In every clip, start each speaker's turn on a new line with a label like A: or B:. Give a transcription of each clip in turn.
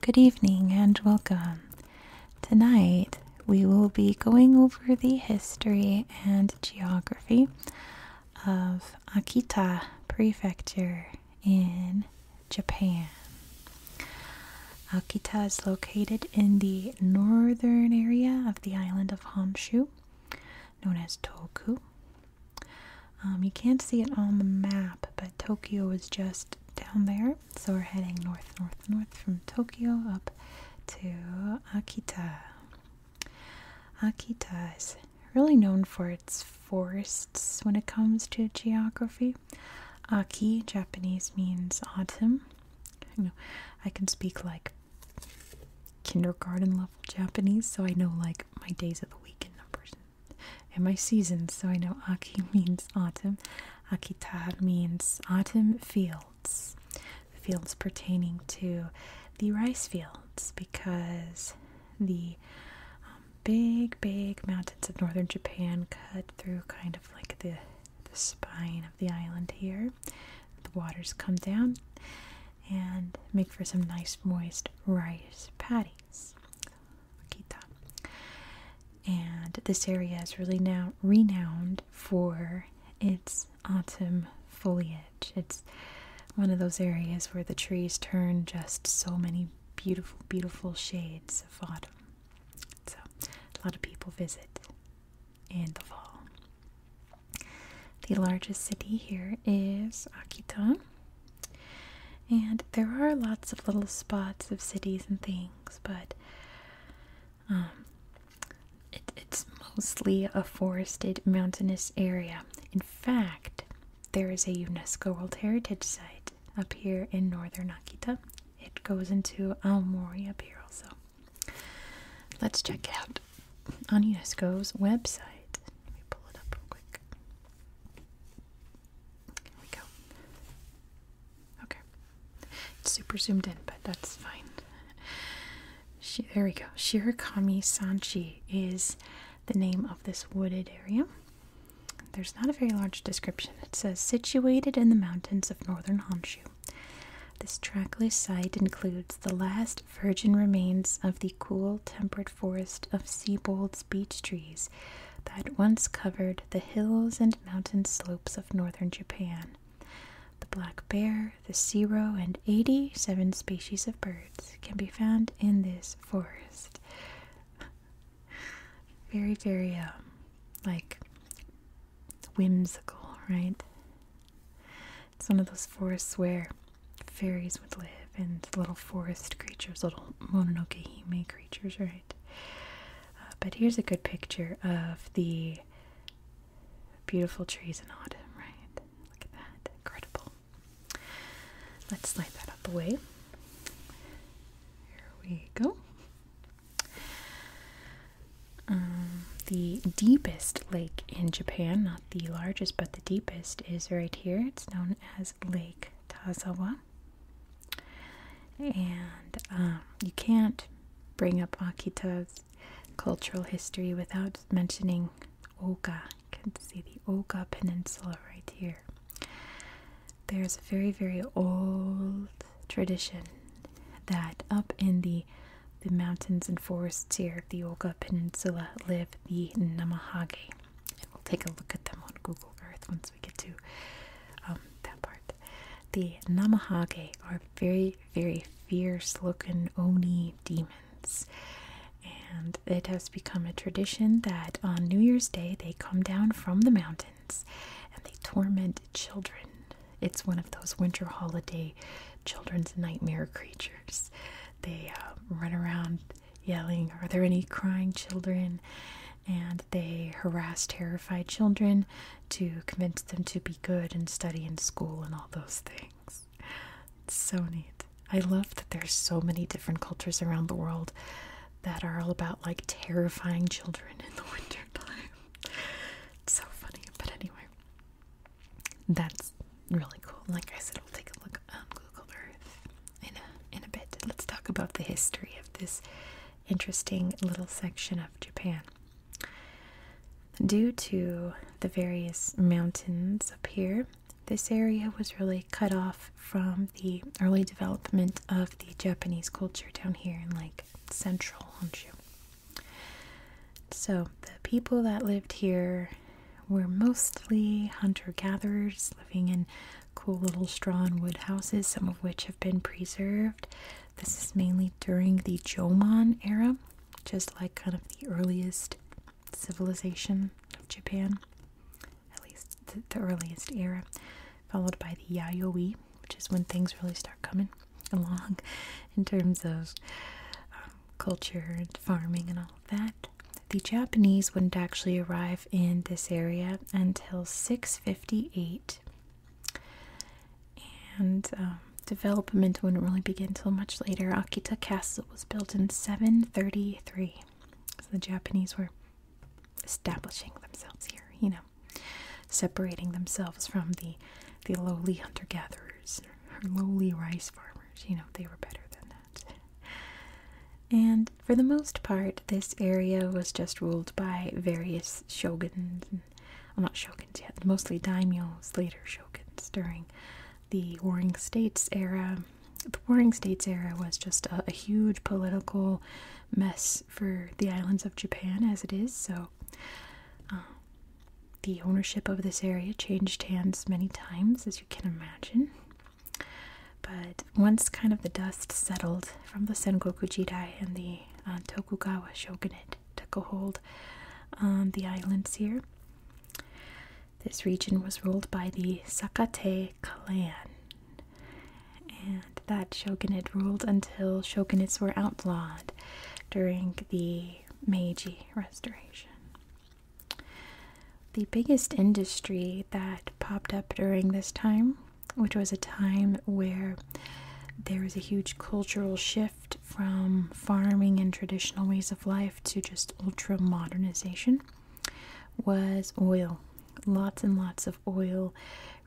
A: Good evening and welcome. Tonight we will be going over the history and geography of Akita Prefecture in Japan. Akita is located in the northern area of the island of Honshu, known as Toku. Um, you can't see it on the map, but Tokyo is just down there. So we're heading north, north, north from Tokyo up to Akita. Akita is really known for its forests when it comes to geography. Aki, Japanese, means autumn. I know I can speak like kindergarten level Japanese, so I know like my days of the week in numbers and my seasons, so I know Aki means autumn. Akita means autumn fields, fields pertaining to the rice fields because the um, big, big mountains of northern Japan cut through kind of like the, the spine of the island here. The waters come down and make for some nice, moist rice paddies. Akita. And this area is really now renowned for its autumn foliage. It's one of those areas where the trees turn just so many beautiful, beautiful shades of autumn. So, a lot of people visit in the fall. The largest city here is Akita. And there are lots of little spots of cities and things, but um, it's mostly a forested mountainous area. In fact, there is a UNESCO World Heritage Site up here in northern Akita. It goes into Aomori up here also. Let's check out on UNESCO's website. Let me pull it up real quick. Here we go. Okay. It's super zoomed in, but that's fine. there we go. Shirakami Sanchi is the name of this wooded area. There's not a very large description. It says situated in the mountains of northern Honshu. This trackless site includes the last virgin remains of the cool, temperate forest of Siebold's beech trees that once covered the hills and mountain slopes of northern Japan. The black bear, the zero, and 87 species of birds can be found in this forest. very, very, um, like whimsical, right? It's one of those forests where fairies would live and little forest creatures, little Mononoke Hime creatures, right? Uh, but here's a good picture of the beautiful trees in autumn, right? Look at that. Incredible. Let's slide that out the way. Here we go. Um, the deepest lake in Japan, not the largest, but the deepest, is right here. It's known as Lake Tazawa. And um, you can't bring up Akita's cultural history without mentioning Oga. You can see the Oga Peninsula right here. There's a very, very old tradition that up in the the mountains and forests here of the Oga Peninsula live the Namahage. we'll take a look at them on Google Earth once we get to um, that part. The Namahage are very, very fierce looking Oni demons. And it has become a tradition that on New Year's Day they come down from the mountains and they torment children. It's one of those winter holiday children's nightmare creatures. They uh, run around yelling, Are there any crying children? And they harass terrified children to convince them to be good and study in school and all those things. It's so neat. I love that there's so many different cultures around the world that are all about like terrifying children in the winter time. so funny, but anyway. That's really cool. Like I said, we'll take a look on Google Earth in a in a bit. Let's talk about the history of this interesting little section of Japan. Due to the various mountains up here, this area was really cut off from the early development of the Japanese culture down here in like central Honshu. So the people that lived here were mostly hunter gatherers living in cool little straw and wood houses, some of which have been preserved. This is mainly during the Jomon era, just like kind of the earliest civilization of Japan, at least the, earliest era, followed by the Yayoi, which is when things really start coming along in terms of um, culture and farming and all of that. The Japanese wouldn't actually arrive in this area until 6:58, and um, development wouldn't really begin till much later. Akita Castle was built in 733, so the Japanese were establishing themselves here. You know, separating themselves from the the lowly hunter gatherers or lowly rice farmers. You know, they were better than that. And for the most part, this area was just ruled by various shoguns, well, not shoguns yet, mostly daimyos, later shoguns during the Warring States era. The Warring States era was just a, huge political mess for the islands of Japan as it is, so um, the ownership of this area changed hands many times, as you can imagine. But once kind of the dust settled from the Senkoku Jidai and the uh, Tokugawa shogunate took a hold on the islands here, this region was ruled by the Sakate clan. And that shogunate ruled until shogunates were outlawed during the Meiji Restoration. The biggest industry that popped up during this time which was a time where there was a huge cultural shift from farming and traditional ways of life to just ultra modernization, was oil. Lots and lots of oil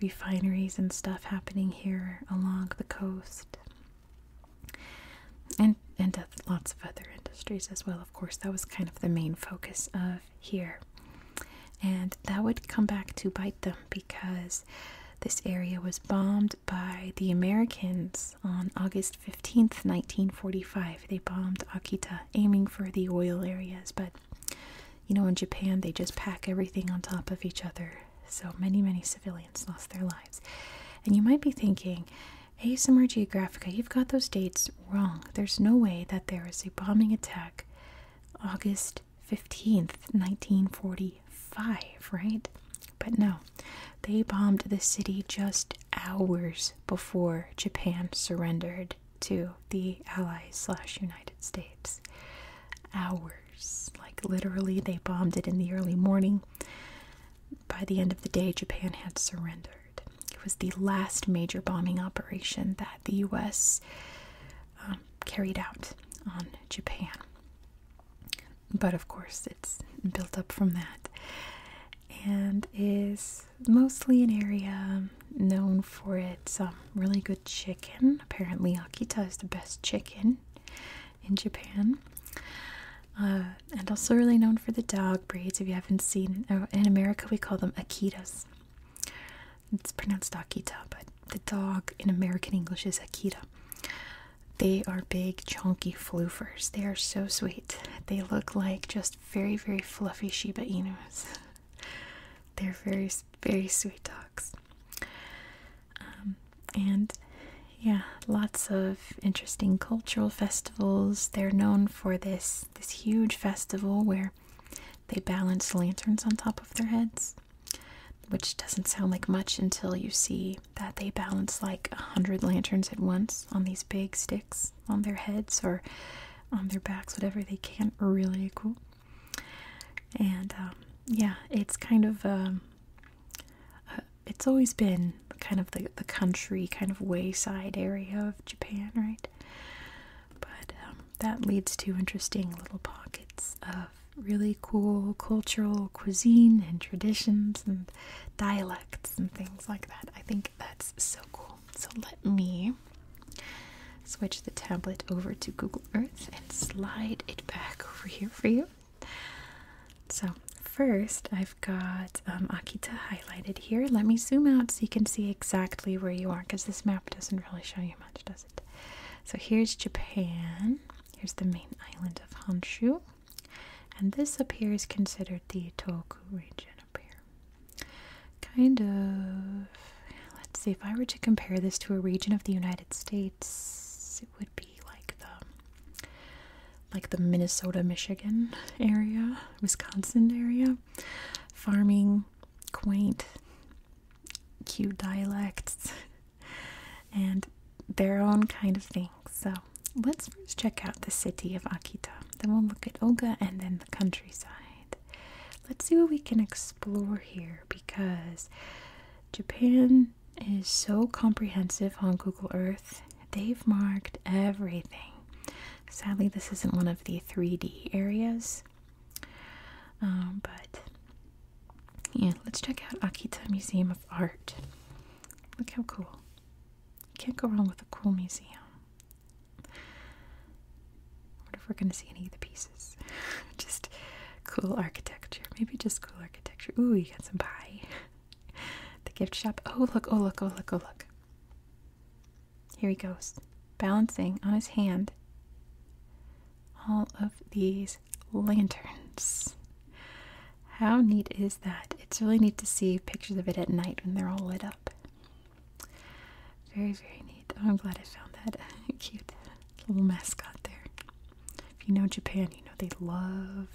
A: refineries and stuff happening here along the coast. And and uh, lots of other industries as well, of course. That was kind of the main focus of here. And that would come back to bite them because this area was bombed by the Americans on August 15, 1945. They bombed Akita, aiming for the oil areas. But you know, in Japan, they just pack everything on top of each other. So many, many civilians lost their lives. And you might be thinking, ASMR Geographica, you've got those dates wrong. There's no way that there is a bombing attack August 15th, 1945, right? But no, they bombed the city just hours before Japan surrendered to the Allies slash United States. Hours. Like literally, they bombed it in the early morning. By the end of the day, Japan had surrendered. It was the last major bombing operation that the U.S. Um, carried out on Japan. But of course, it's built up from that and is mostly an area known for its um, really good chicken. Apparently, Akita is the best chicken in Japan. Uh, and also really known for the dog breeds. If you haven't seen, uh, in America we call them Akitas. It's pronounced Akita, but the dog in American English is Akita. They are big, chunky floofers. They are so sweet. They look like just very, very fluffy Shiba Inus. They're very, very sweet dogs. Um, and yeah, lots of interesting cultural festivals. They're known for this this huge festival where they balance lanterns on top of their heads, which doesn't sound like much until you see that they balance like a hundred lanterns at once on these big sticks on their heads or on their backs, whatever they can. Really cool. And um, yeah, it's kind of, um, uh, it's always been kind of the, the country, kind of wayside area of Japan, right? But um, that leads to interesting little pockets of really cool cultural cuisine and traditions and dialects and things like that. I think that's so cool. So let me switch the tablet over to Google Earth and slide it back over here for you. So, first, I've got um, Akita High highlighted here. Let me zoom out so you can see exactly where you are because this map doesn't really show you much, does it? So here's Japan. Here's the main island of Honshu. And this up here is considered the Toku region up here. Kind of. Let's see, if I were to compare this to a region of the United States, it would be like the like the Minnesota, Michigan area, Wisconsin area, farming, quaint, cute dialects, and their own kind of things. So let's first check out the city of Akita. Then we'll look at Oga and then the countryside. Let's see what we can explore here because Japan is so comprehensive on Google Earth. They've marked everything. Sadly, this isn't one of the 3D areas. Um, but yeah, let's check out Akita Museum of Art. Look how cool. can't go wrong with a cool museum. I wonder if we're going to see any of the pieces. just cool architecture. Maybe just cool architecture. Ooh, you got some pie. the gift shop. Oh, look, oh, look, oh, look, oh, look. Here he goes, balancing on his hand all of these lanterns. How neat is that? It's really neat to see pictures of it at night when they're all lit up. Very, very neat. Oh, I'm glad I found that cute little mascot there. If you know Japan, you know they love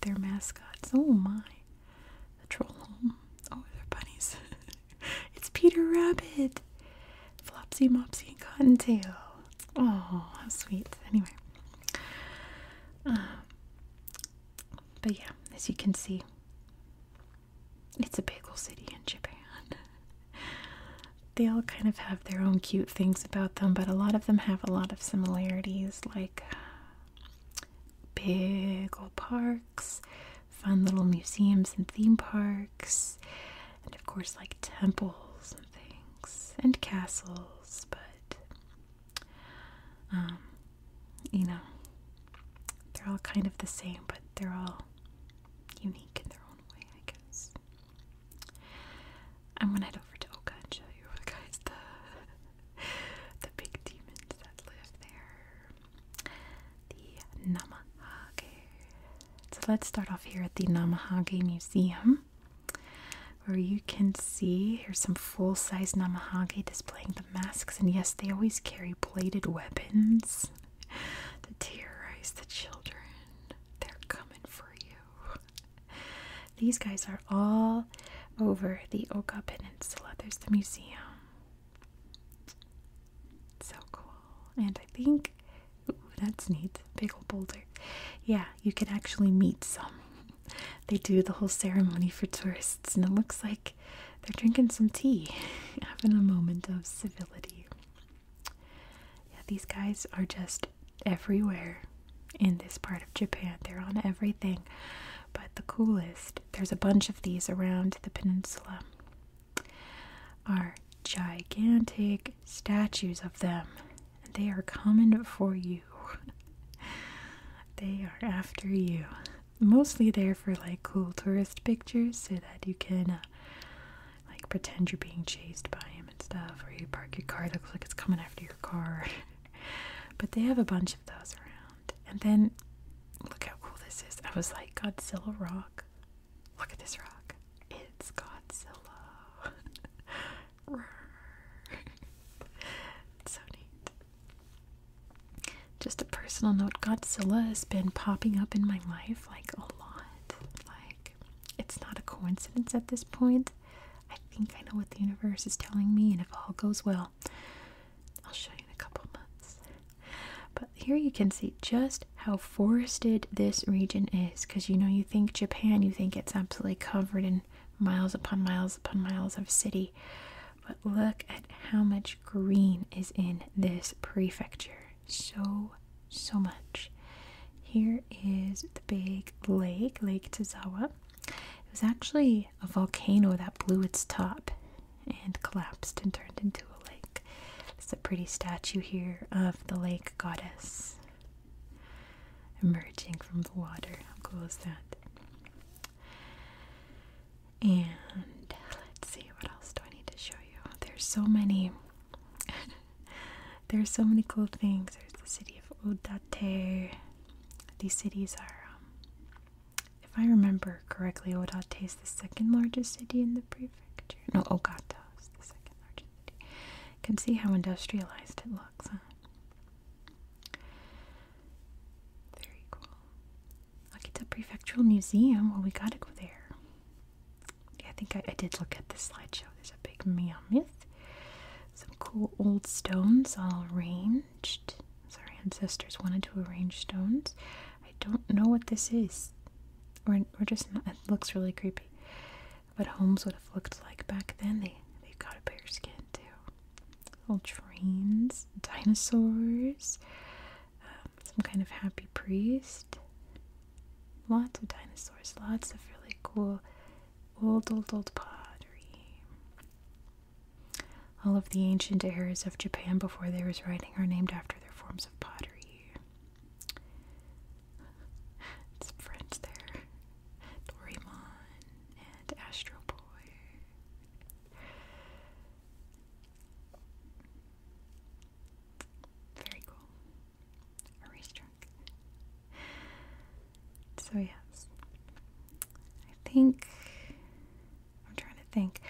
A: their mascots. Oh my troll home. Oh, they're bunnies. it's Peter Rabbit, Flopsy, Mopsy, and Cottontail. Oh, how sweet. Anyway. Um, but yeah, as you can see, it's a bagel city in Japan. they all kind of have their own cute things about them, but a lot of them have a lot of similarities, like uh, big old parks, fun little museums and theme parks, and of course, like temples and things, and castles, but um, you know, they're all kind of the same, but they're all unique in their own way, I guess. I'm gonna head over to Oka and show you guys the the big demons that live there. The Namahage. So let's start off here at the Namahage Museum, where you can see here's some full size Namahage displaying the masks. And yes, they always carry plated weapons to terrorize the children. They're coming for you. These guys are all over the Oka Peninsula. There's the museum. So cool. And I think, that's neat. Pickle Boulder. Yeah, you can actually meet some. They do the whole ceremony for tourists, and it looks like they're drinking some tea, having a moment of civility. Yeah, these guys are just everywhere in this part of Japan. They're on everything. But the coolest there's a bunch of these around the peninsula. Are gigantic statues of them, and they are coming for you. they are after you. Mostly there for like cool tourist pictures, so that you can uh, like pretend you're being chased by him and stuff, or you park your car, looks like it's coming after your car. but they have a bunch of those around. And then look how cool this is. I was like, Godzilla rock. Look at this rock. It's Godzilla. so neat. Just a personal note Godzilla has been popping up in my life like a lot. Like, it's not a coincidence at this point. I think I know what the universe is telling me, and if all goes well, I'll show you in a couple months. But here you can see just how forested this region is because you know, you think Japan, you think it's absolutely covered in miles upon miles upon miles of city. But look at how much green is in this prefecture. So, so much. Here is the big lake, Lake Tazawa. It was actually a volcano that blew its top and collapsed and turned into a lake. There's a pretty statue here of the lake goddess emerging from the water. How cool is that? And let's see, what else do I need to show you? There's so many. There's so many cool things. There's the city of Odate. These cities are um, if I remember correctly, Odate is the second largest city in the prefecture. No, Ogata is the second largest city. You can see how industrialized it looks, huh? Very cool. Akita Prefectural Museum. Well, we gotta go there. Yeah, I think I, did look at the slideshow. There's a big mammoth. Some cool old stones all arranged arranged. our ancestors wanted to arrange stones. I don't know what this is. We're, we're just it looks really creepy. What homes would have looked like back then. They, they have got a bear skin too. Little trains, dinosaurs, um, some kind of happy priest. Lots of dinosaurs, lots of really cool old, old, old pottery. All of the ancient eras of Japan before there was writing are named after their forms of pottery. It's friends there. Doraemon and Astro Boy. Very cool. A race track. So yes. I think I'm trying to think.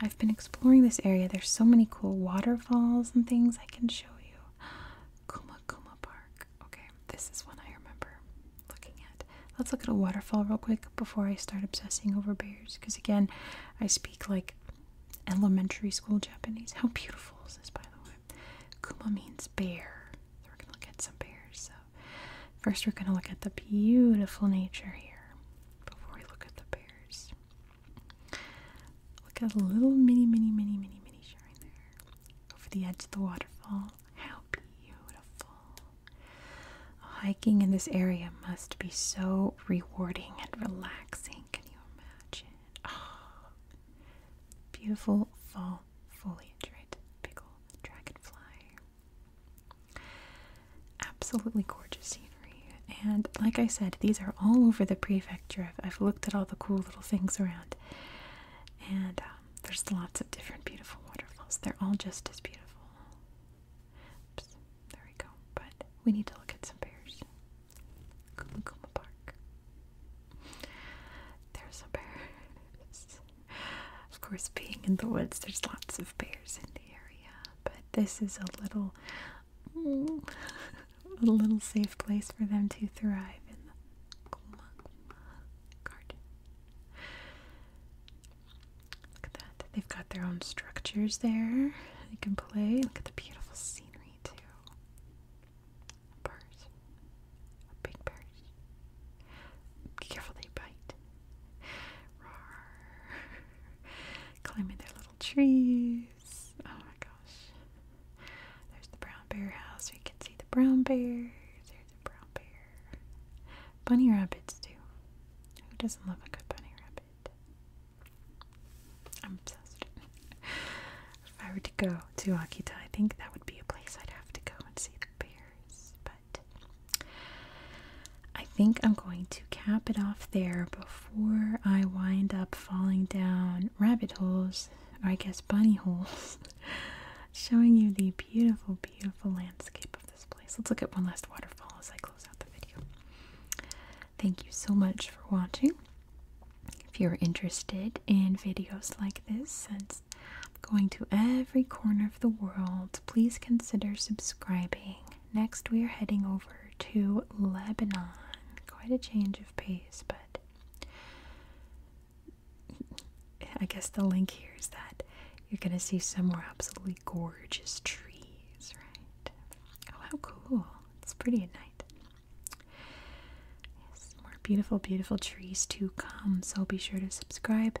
A: I've been exploring this area. There's so many cool waterfalls and things I can show you. Kuma Kuma Park. Okay, this is one I remember looking at. Let's look at a waterfall real quick before I start obsessing over bears. Because again, I speak like elementary school Japanese. How beautiful is this, by the way? Kuma means bear. So we're gonna look at some bears. So First, we're going to look at the beautiful nature here before we look at the bears. Look at a little mini, mini, mini, mini, mini shrine there over the edge of the waterfall. How beautiful! Hiking in this area must be so rewarding and relaxing. Can you imagine? Ah, beautiful fall foliage, right? dragonfly. Absolutely gorgeous scenery. And like I said, these are all over the prefecture. I've, looked at all the cool little things around. And um, there's lots of different beautiful waterfalls. They're all just as beautiful. there we go. But we need to look at some bears. Kumukuma Park. There's some bears of course, being in the woods, there's lots of bears in the area, but this is a little, a little safe place for them to thrive in the Kuma garden. Look at that. They've got their own structures there. They can play. Look at the beautiful scenery, too. A big bird careful they bite. Roar. Climbing their little trees. Oh my gosh. There's the brown bear house. We can see the brown bear. There's a brown bear. Bunny rabbits too. Who doesn't love a good bunny rabbit? I'm obsessed. if I were to go to Akita, I think that would be a place I'd have to go and see the bears. But I think I'm going to cap it off there before I wind up falling down rabbit holes, or I guess bunny holes, showing you the beautiful, beautiful landscape of this place. Let's look at one last waterfall as I close out the video. Thank you so much for watching. If you're interested in videos like this, since going to every corner of the world, please consider subscribing. Next, we are heading over to Lebanon. Quite a change of pace, but I guess the link here is that you're going to see some more absolutely gorgeous trees, right? Oh, how cool! It's pretty at night. Yes, more beautiful, beautiful trees to come, so be sure to subscribe